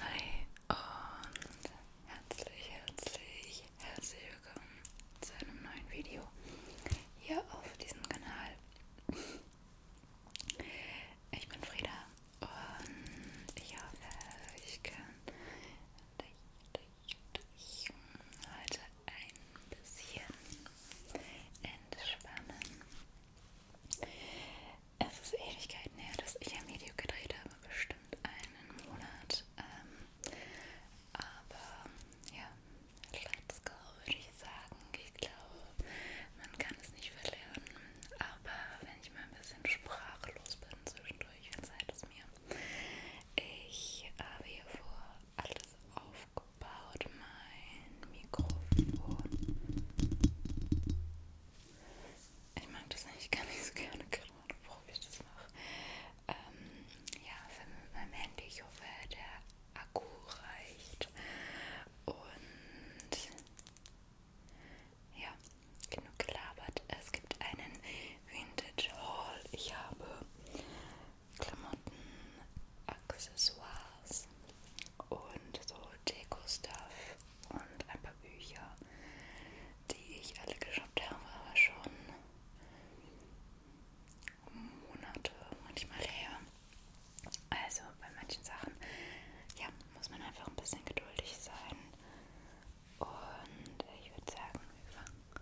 Hi und herzlich, herzlich, herzlich willkommen zu einem neuen Video hier auf diesem Kanal. Ich bin Frieda und ich hoffe, ich kann dich, heute ein bisschen entspannen. Es ist Ewigkeiten her, dass ich ein Video gedreht habe, bestimmt einen Monat. Ähm, aber ja, let's go, würde ich sagen. Ich glaube, man kann es nicht verlernen. Aber wenn ich mal ein bisschen sprachlos bin zwischendurch, verzeiht es mir. Ich habe hier vor alles aufgebaut, mein Mikrofon. Ich mag das eigentlich gar nicht so gerne, keine Ahnung, warum ich das mache. Ähm, ja, filme mit meinem Handy. Ich hoffe, der Akku reicht. Und ja, genug gelabert. Es gibt einen Vintage Haul. Ich habe Klamotten, Accessoires und so Deko-Stuff und ein paar Bücher, die ich alle geshoppt habe, aber schon Monate manchmal her. Also bei manchen Sachen, ja, muss man einfach ein bisschen geduldig sein. Und ich würde sagen, wir fangen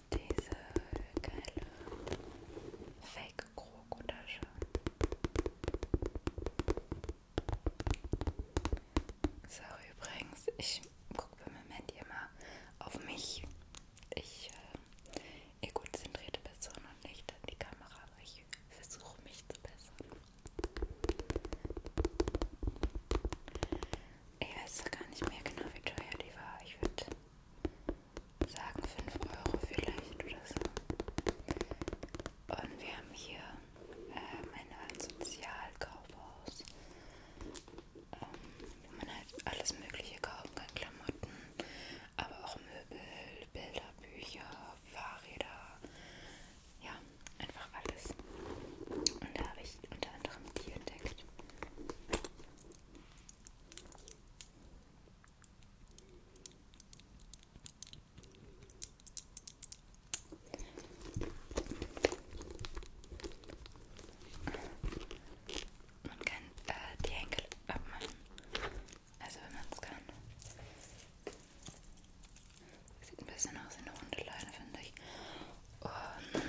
ist diese geile Fake-Krokotasche. So, übrigens, ich gucke beim Moment immer auf mich. Ich, äh, egozentrierte Person und nicht an die Kamera, aber ich versuche mich zu bessern. Ich weiß gar nicht mehr genau, wie teuer die war. Ich würde sagen 5 Euro vielleicht oder so. Und wir haben hier ähm, eine Art Sozialkaufhaus, ähm, wo man halt alles Mögliche kaufen kann: Klamotten, aber auch Möbel, Bilder, Bücher, Fahrräder. Ja, einfach alles. Und da habe ich unter anderem die entdeckt. Man kann äh, die Henkel abmachen. Also wenn man es kann. Sieht ein bisschen aus wie eine runde Leine, finde ich. Und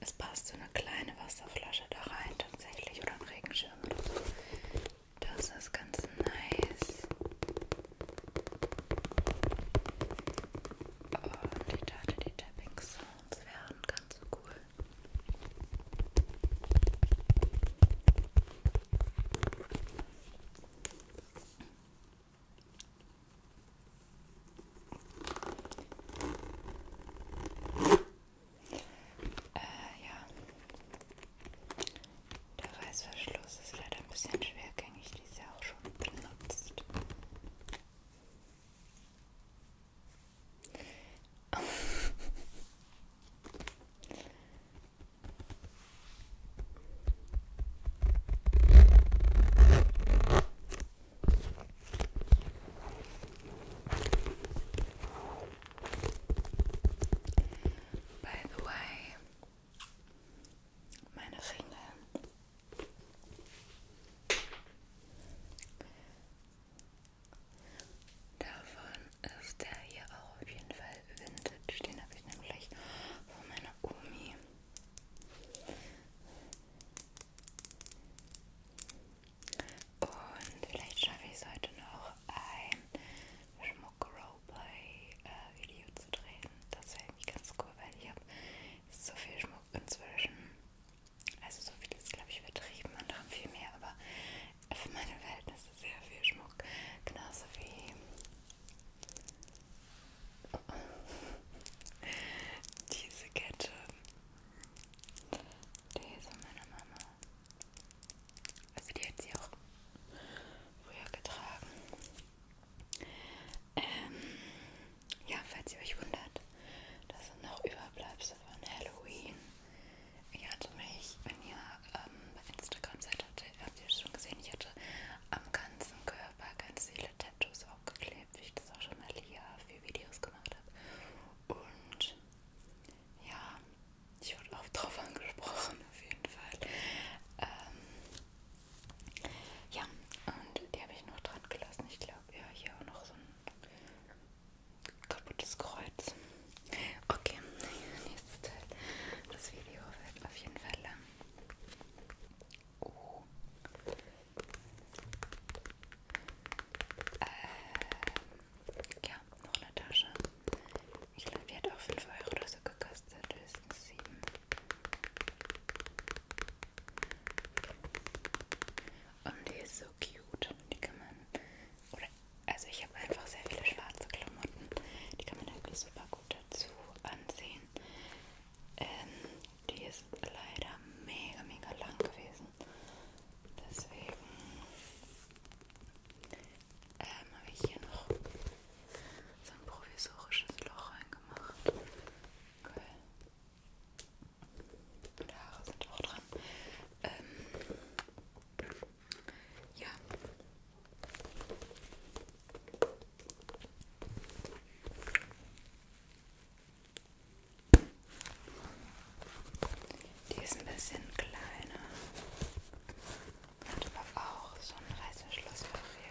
es passt so eine kleine Wasserflasche da rein tatsächlich oder ein Regenschirm oder so. Das ist ganz nice. Und ich dachte, die Tapping Sounds wären ganz cool. Äh, ja. Der Reißverschluss ist leider ein bisschen schwergängig, die ist ja auch schon benutzt. By the way, meine Finger. Davon ist der hier auch auf jeden Fall vintage. Den habe ich nämlich von meiner Omi. Und vielleicht schaffe ich es heute noch, ein Schmuck-Roleplay-Video zu drehen. Das wäre irgendwie ganz cool, weil ich habe so viel Schmuck inzwischen. Also so viel ist, glaube ich, übertrieben. Andere haben viel mehr, aber für meine Verhältnisse sehr viel Schmuck. Genauso wie diese Kette. Diese meiner Mama. Also die hat sie auch früher getragen. Ähm, ja, falls ihr euch wundert, das sind noch Überbleibsel von Halloween. Ich hatte mich, wenn ihr ähm, bei Instagram seid, habt ihr es schon gesehen, ich hatte am ganzen Körper ganz viele Tattoos das auch geklebt, wie ich das auch schon mal hier für Videos gemacht habe. Und ja, ich wurde auch drauf angesprochen, auf jeden Fall. Ähm, ja, und die habe ich noch dran gelassen. Ich glaube, ja, hier auch noch so ein kaputtes Kreuz. Okay, nächstes Teil. Das Video wird auf jeden Fall lang. O. Ähm, ja, noch eine Tasche. Ich glaube, die hat auch 5 Euro oder so gekostet, höchstens 7. Und die ist so cute. Die kann man. Oder, also, ich habe einfach sehr viele schwarze Klamotten. Die kann man wirklich halt super gut dazu ansehen. Ähm, die ist leider mega, mega lang gewesen. Deswegen ähm, habe ich hier noch so ein provisorisches Loch reingemacht. Okay. Und Haare sind auch dran. Ähm, ja, die ist ein bisschen kleiner. Hat aber auch so ein Reißverschluss hier.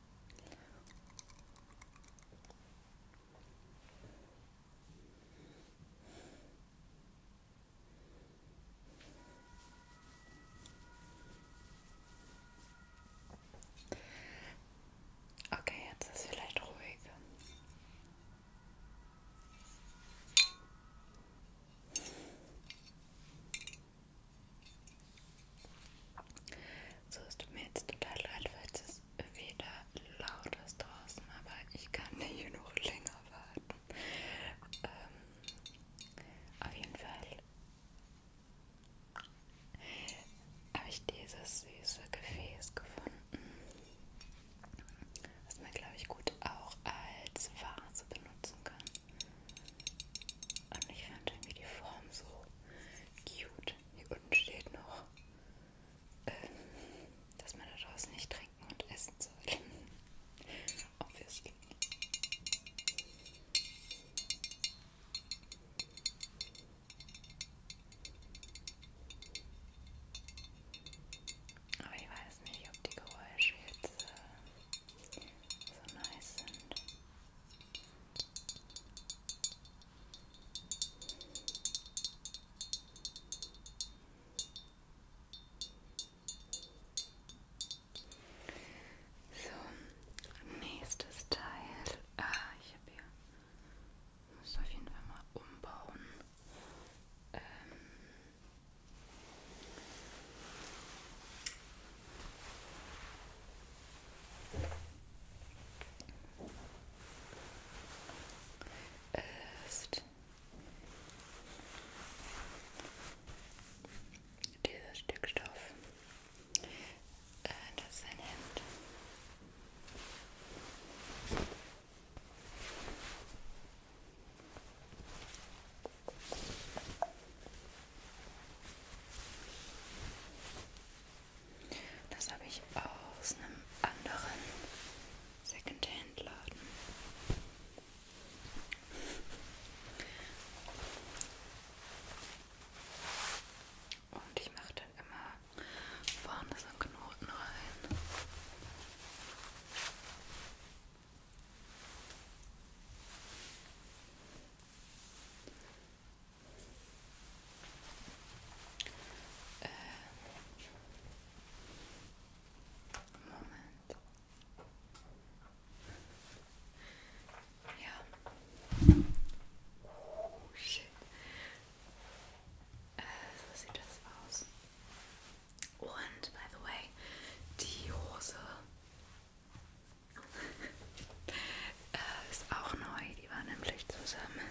Okay, jetzt ist es vielleicht ruhig. So es tut mir jetzt total leid, falls es wieder laut ist draußen, aber ich kann nicht genug länger warten. Ähm, auf jeden Fall habe ich dieses süße Gefäß gefunden, was man glaube ich gut auch als Vase benutzen kann. Und ich fand irgendwie die Form so cute. Hier unten steht noch, ähm, dass man daraus nicht trinken und essen soll. Obviously. Aber ich weiß nicht, ob die Geräusche jetzt äh, so nice sind. So, nächstes Teil. Ah, ich habe hier. Muss auf jeden Fall mal umbauen. Ähm, ist dieses Stück Stoff. Äh, das ist ein Hemd. Das habe ich aus einem anderen Secondhand-Laden. Und ich mache dann immer vorne so einen Knoten rein. Um, moment. Yeah. Oh shit. Uh, so das war's. Und by the way, die äh, ist auch neu. Die war nämlich zusammen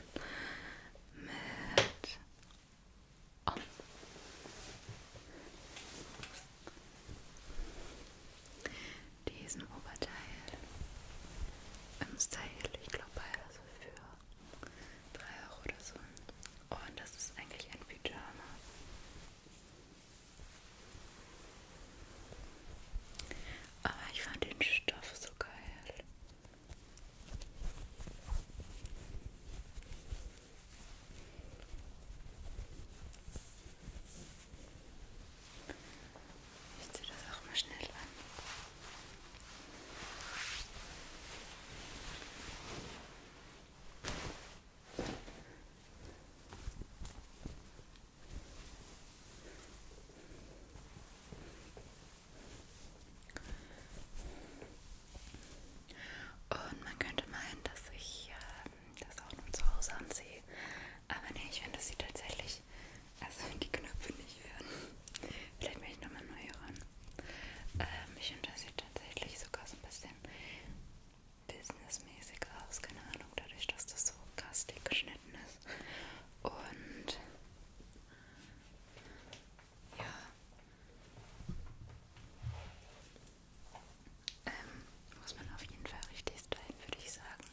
mit oh. diesem Oberteil im Style, ich glaube beides so also für 3 Euro oder so. Und das ist eigentlich ein Pyjama. Aber ah, ich fand den Stoff so geil. Ich ziehe das auch mal schnell an. Und man könnte meinen, dass ich äh, das auch nur zu Hause anziehe. Aber nee, ich finde, das sieht tatsächlich. Also, die Knöpfe nicht werden. Vielleicht mache ich nochmal neu ran. Ähm, ich finde, das sieht tatsächlich sogar so ein bisschen businessmäßig aus, keine Ahnung, dadurch, dass das so kastig geschnitten ist. Und ja. Ähm, muss man auf jeden Fall richtig stylen, würde ich sagen.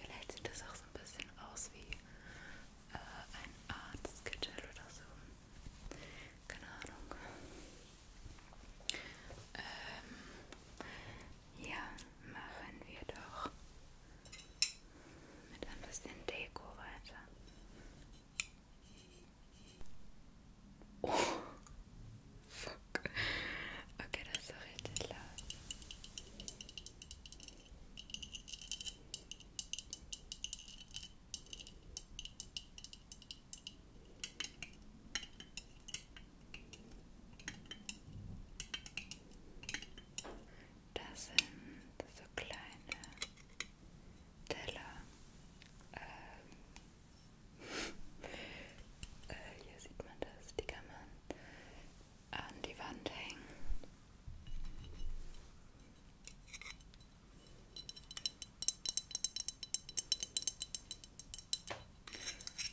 Vielleicht sieht das auch so ein bisschen aus wie äh, ein Art Skittle oder so. Keine Ahnung. Ähm, ja, machen wir doch mit ein bisschen Deko weiter. Oh, fuck. Okay, das ist doch richtig laut. Das sind so kleine Teller. Ähm äh, hier sieht man das, die kann man an die Wand hängen.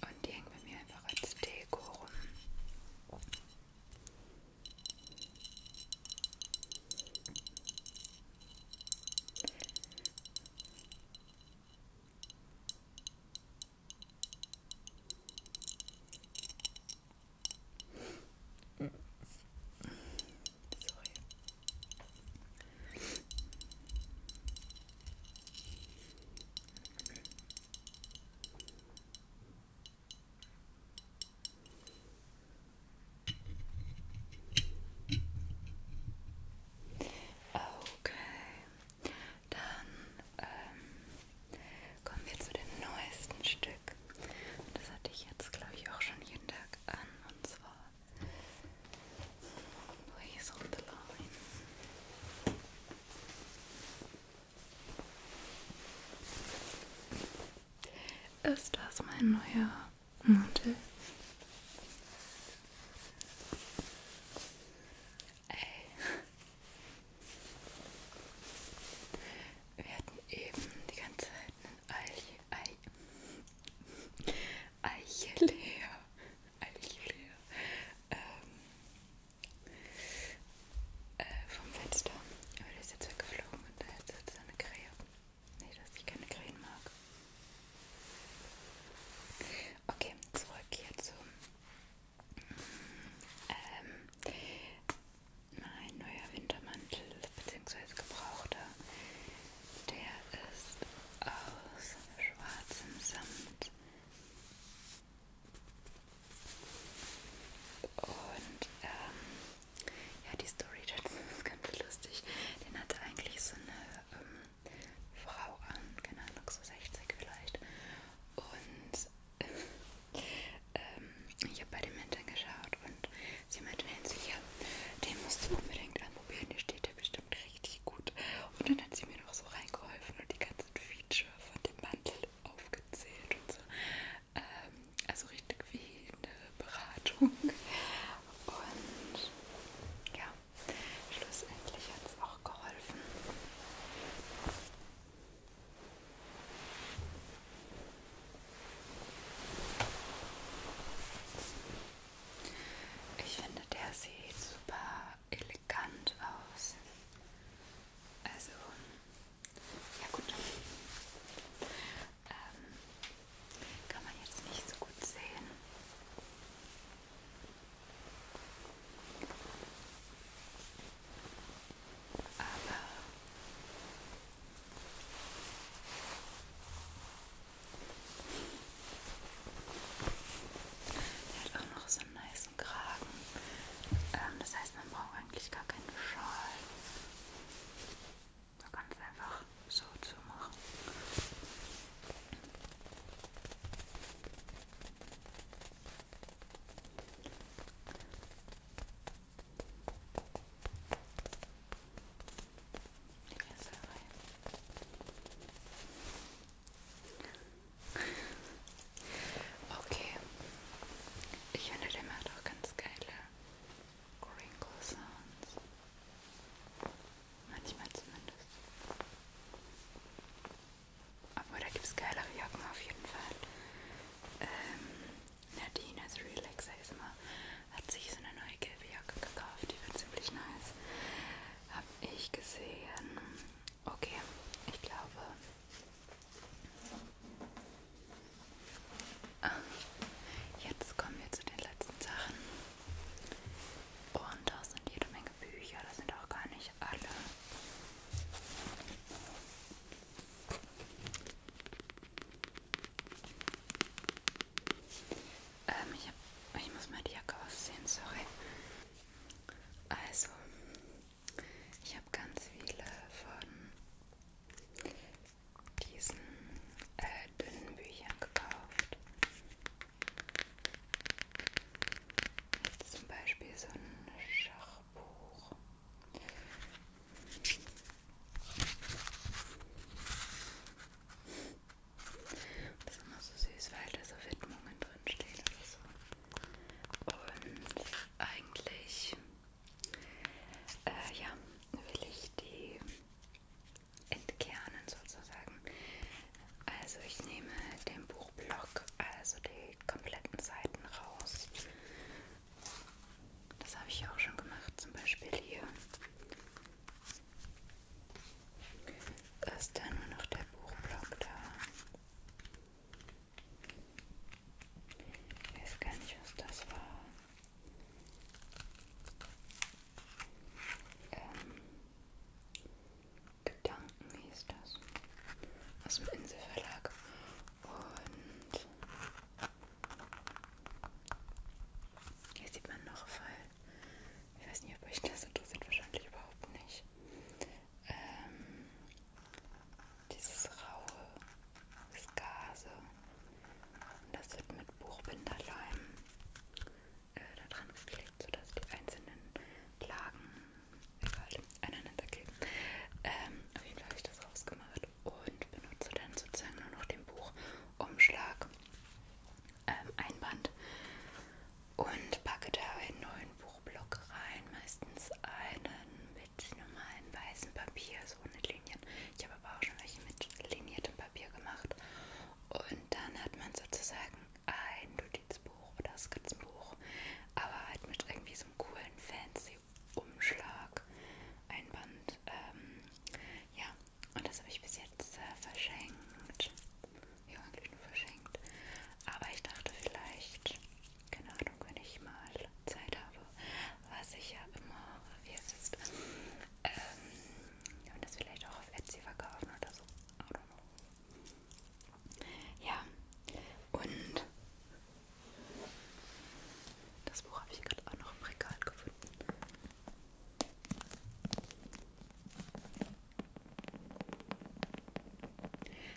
Und die hängen bei mir einfach als Deko rum. Sorry. Okay, dann ähm, kommen wir zu dem neuesten Stück. Das hatte ich jetzt, glaube ich, auch schon jeden Tag an. Und zwar Please hold the line. Ist das mein neuer Mantel? Ey. Wir hatten eben die ganze Zeit einen Alien. Ei, Eichelea. Eichelea. Ähm, äh, vom Fenster. Aber der ist jetzt weggeflogen und da ist jetzt eine Krähe. Nee, dass ich keine Krähen mag. Okay, zurück hierzu. Ähm, mein neuer Wintermantel bzw. gebrauchter der ist aus schwarzem Samt und ähm, ja, die Story dazu ist ganz lustig. Den hatte eigentlich so eine ähm, Frau an, keine Ahnung, so 60 vielleicht. Und ähm, ich habe bei den Eltern geschaut und Sie meinte, sicher, den musst du unbedingt anprobieren, der steht dir bestimmt richtig gut. Und dann hat sie mir noch so reingeholfen und die ganzen Feature von dem Mantel aufgezählt und so. Ähm, also richtig wie eine Beratung. Und ja, schlussendlich hat es auch geholfen. Ich finde, der sieht super elegant aus. Also, ja gut. Ähm, kann man jetzt nicht so gut sehen. Aber der hat auch noch so einen nice Kragen. Ähm, das heißt, man braucht eigentlich gar keinen Schal. Man kann es einfach so zu machen. Die Kessel rein. Okay. Ich finde, der macht auch ganz geile Crinkle Sounds. Manchmal zumindest. Obwohl, da gibt es geilere Jacken auf jeden Fall. Ähm, Nadine ist Relax ASMR hat sich so eine neue gelbe Jacke gekauft, die wird ziemlich nice. Hab ich gesehen. Okay, ich glaube. Ah, jetzt kommen wir zu den letzten Sachen. Und da sind jede Menge Bücher, das sind auch gar nicht alle. Ähm, ich, hab, ich muss mal die Jacke ausziehen, sorry. Also, ich habe ganz viele von diesen äh, dünnen Büchern gekauft. Jetzt zum Beispiel so ein Schachbuch. Das ist immer so süß, weil da so Widmungen drinstehen oder so. Und eigentlich, äh, ja, will ich die entkernen sozusagen. Also ich nehme den Buchblock, also die kompletten Seiten raus das habe ich auch schon gemacht, zum Beispiel hier. Ist da nur noch der Buchblock da? Ich weiß gar nicht, was das war. Ähm, Gedanken hieß das. Aus dem Inselverlag. Und hier sieht man noch voll. Ich weiß nicht, ob euch das interessiert, wahrscheinlich überhaupt nicht. Ähm, dieses raue, das Gase. Und das wird mit Buchbinderleim äh, da dran geklebt, sodass die einzelnen Lagen egal, aneinander kleben. Ähm, auf jeden Fall habe ich das rausgemacht und benutze dann sozusagen nur noch den Buchumschlag ähm, Einband und packe da einen neuen Buchblock rein, meistens einen mit normalen weißen Papier, so ohne Linien. Ich habe aber auch schon welche mit liniertem Papier gemacht. Und dann hat man sozusagen ein Notizbuch oder Skizzenbuch, aber halt mit irgendwie so einem coolen, fancy Umschlag, ein Band. Ähm, ja, und das habe ich bis jetzt äh, verschenkt. Ja, eigentlich nur verschenkt. Aber ich dachte vielleicht, keine Ahnung, wenn ich mal Zeit habe, was ich ja immer, wie es ist, ähm, und das vielleicht auch auf Etsy verkaufen oder so. I don't know. Ja, und das Buch habe ich gerade auch noch im Regal gefunden.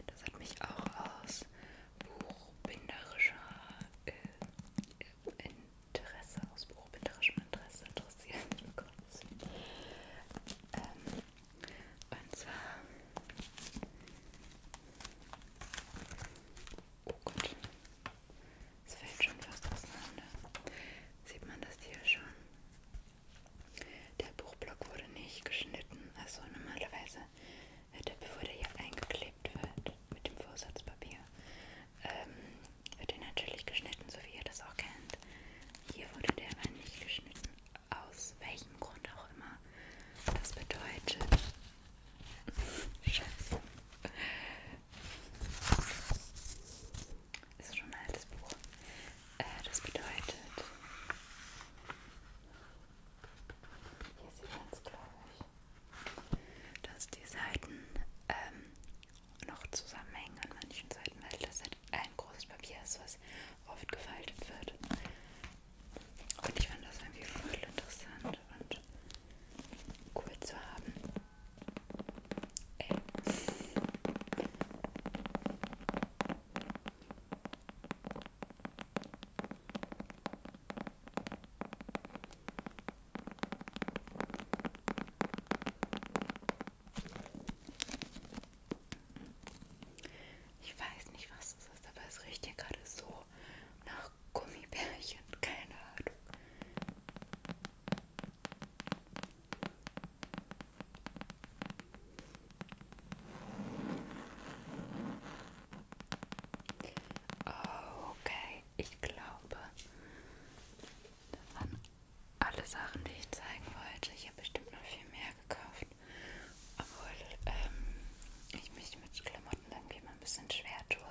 Das hat mich auch aus buchbinderischer äh, Interesse, aus buchbinderischem Interesse interessiert. Oh Gott, das ähm, und zwar Oh Gott. Es fällt schon fast auseinander. Sieht man das hier schon? Der Buchblock wurde nicht geschnitten. Also normalerweise wird äh, er, bevor der hier eingeklebt wird mit dem Vorsatzpapier, ähm, wird er natürlich geschnitten, so wie ihr das auch kennt. Hier wurde der aber nicht geschnitten. Aus welchem Grund auch immer. Das bedeutet, Scheiße. Ist schon ein altes Buch. Äh, das bedeutet. Hier sieht man es, glaube ich. Dass die Seiten ähm, noch zusammenhängen an manchen Seiten, weil das halt ein großes Papier ist, was oft gefaltet wird. Und ich fand das irgendwie voll interessant und cool zu haben. Ey. Ich weiß nicht, was das ist, aber es riecht hier gerade so so nach Gummibärchen, keine Ahnung. Okay, ich glaube, das waren alle Sachen, die ich zeigen wollte. Ich habe bestimmt noch viel mehr gekauft. Obwohl ähm, ich mich mit Klamotten irgendwie mal ein bisschen schwer tue.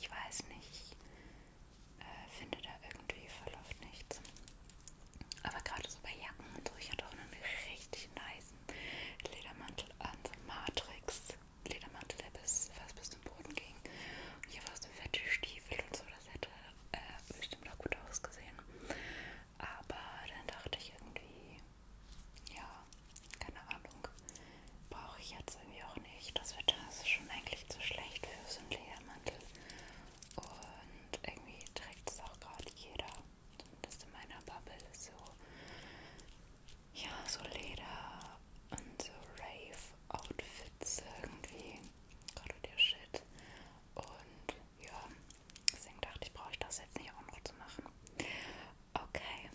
Ich weiß nicht, ich äh, finde da irgendwie verläuft nichts. Aber gerade so bei Jacken und so, ich hatte auch einen richtig nice Ledermantel an, so Matrix. Ledermantel, der bis, fast bis zum Boden ging. Und hier war so fette Stiefel und so, das hätte äh, bestimmt auch gut ausgesehen. Aber dann dachte ich irgendwie, ja, keine Ahnung, brauche ich jetzt irgendwie auch nicht. Das Wetter ist schon eigentlich zu schlecht für so einen Ledermantel. Und irgendwie trägt es auch gerade jeder. Zumindest in meiner Bubble ist so, ja, so Leder und so Rave-Outfits irgendwie. Gerade der Shit. Und ja, Deswegen dachte ich, brauche ich das jetzt nicht auch noch zu machen. Okay.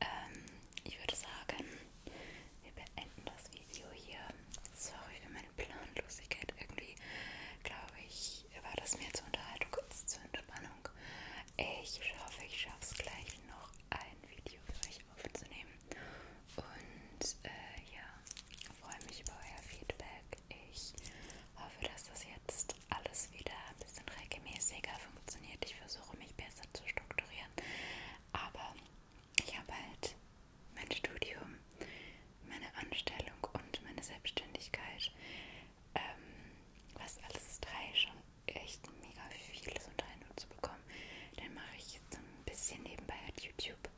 Ähm, ich würde sagen, wir beenden das Video hier. Sorry für meine Planlosigkeit. Irgendwie, glaube ich, war das mir zur Unterhaltung, kurz zur Entspannung. Ich hoffe, ich schaffe es gleich noch ein Video für euch aufzunehmen. Und äh, ja, freue mich über euer Feedback. Ich hoffe, dass das jetzt alles wieder ein bisschen regelmäßiger funktioniert. Ich versuche mich besser zu strukturieren, aber ich habe halt mein Studium, meine Anstellung und meine Selbstständigkeit, ähm, was alles drei schon echt mega vieles unter einen Hut zu bekommen. Dann mache ich jetzt ein bisschen nebenbei halt YouTube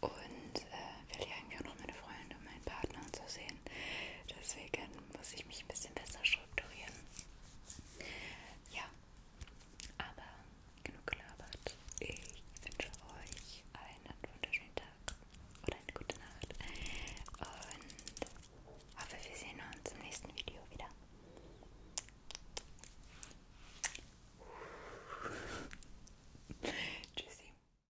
und äh, will ja irgendwie auch noch meine Freunde und meinen Partner und so sehen. Deswegen muss ich mich ein bisschen besser strukturieren. Ja, aber genug gelabert. Ich wünsche euch einen wunderschönen Tag oder eine gute Nacht und hoffe, wir sehen uns im nächsten Video wieder. Tschüssi.